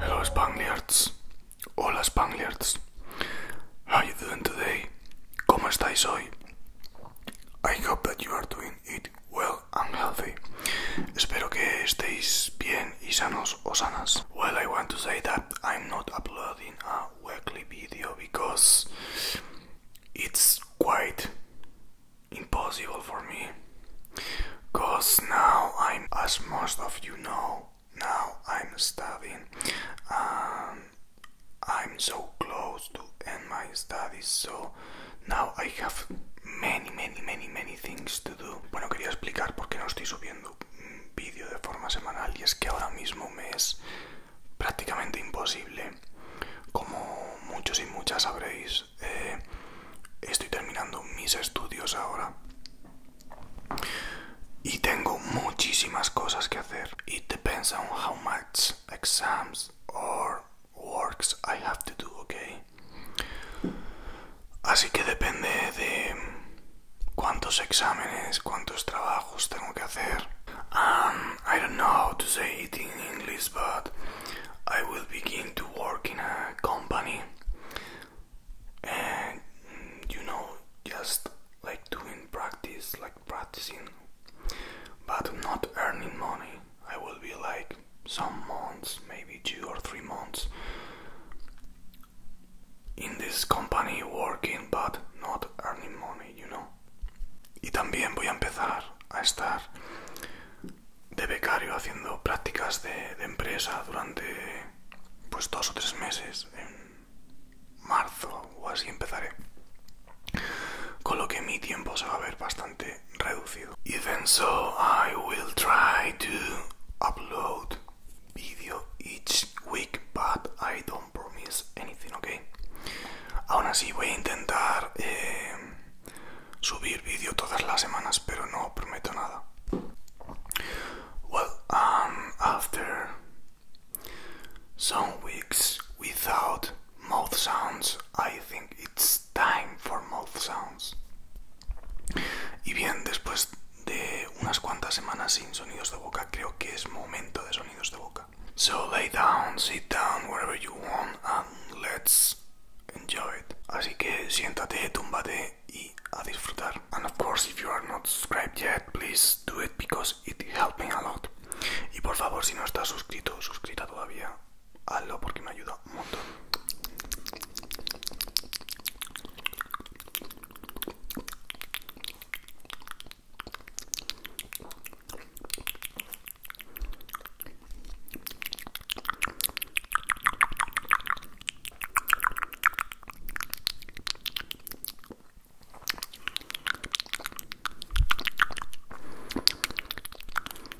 Hello Spangliards, hola Spangliards, how are you doing today? ¿Cómo estáis hoy? I hope that you are doing it well and healthy. Espero que estéis bien y sanos Well, I want to say that I'm not uploading a weekly video because it's quite impossible for me. Because now I'm, as most of you know, now I'm studying. I'm so close to end my studies, so now I have many, many, many, many things Bueno, quería explicar por qué no estoy subiendo un vídeo de forma semanal y es que ahora mismo me es prácticamente imposible. Como muchos y muchas sabréis, eh, estoy terminando mis estudios ahora y tengo muchísimas cosas que hacer. It depends on how much exams or works I have to do, okay? Así que depende de cuántos exámenes, cuántos trabajos tengo que hacer. Um, I don't know how to say it in English, but I will begin to work in a company. And you know, just like doing practice, like practicing, but not earning money. I will be like some months, maybe two or three months, in this company working but not earning money, you know. Y también voy a empezar a estar de becario haciendo prácticas de, de empresa durante pues dos o tres meses en marzo o así empezaré con lo que mi tiempo se va a ver bastante reducido Even so, I will try to upload video each week, but I don't promise anything, ok? Aún así voy a intentar eh, subir vídeo todas las semanas, pero no prometo nada. Well, um, after some weeks without mouth sounds, I think it's time for mouth sounds. Y bien, después de unas cuantas semanas sin sonidos de boca, creo que es momento de sonidos de boca. So lay down, sit down, wherever you want, and let's enjoy it. Así que siéntate, túmbate y a disfrutar. And of course, if you are not subscribed yet, please do it because it helps me a lot. Y por favor, si no estás suscrito, suscrita todavía hazlo porque me ayuda un montón.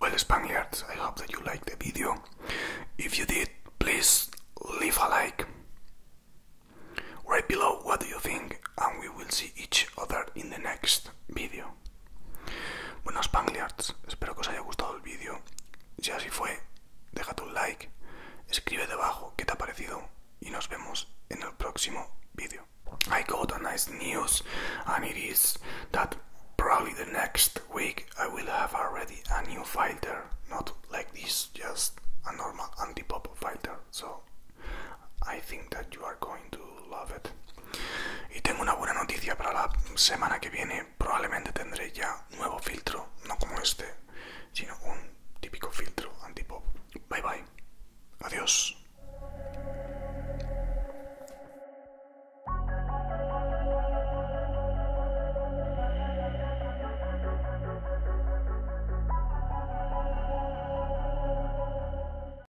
Well, Spaniards, I hope that you liked the video. If you did, please leave a like. Right below, what do you think? And we will see each other in the next video. Bueno, Spangliards, espero que os haya gustado el vídeo. Si así fue, déjate un like, escribe debajo qué te ha parecido y nos vemos en el próximo vídeo. I got a nice news and it is that probably the next week I will have already a new fighter, not like this, just a normal anti-pop filter. So I think that you are going to love it. Y tengo una buena noticia para la semana que viene. Probablemente tendré ya nuevo filtro, no como este, sino un típico filtro anti-pop. Bye bye. Adiós.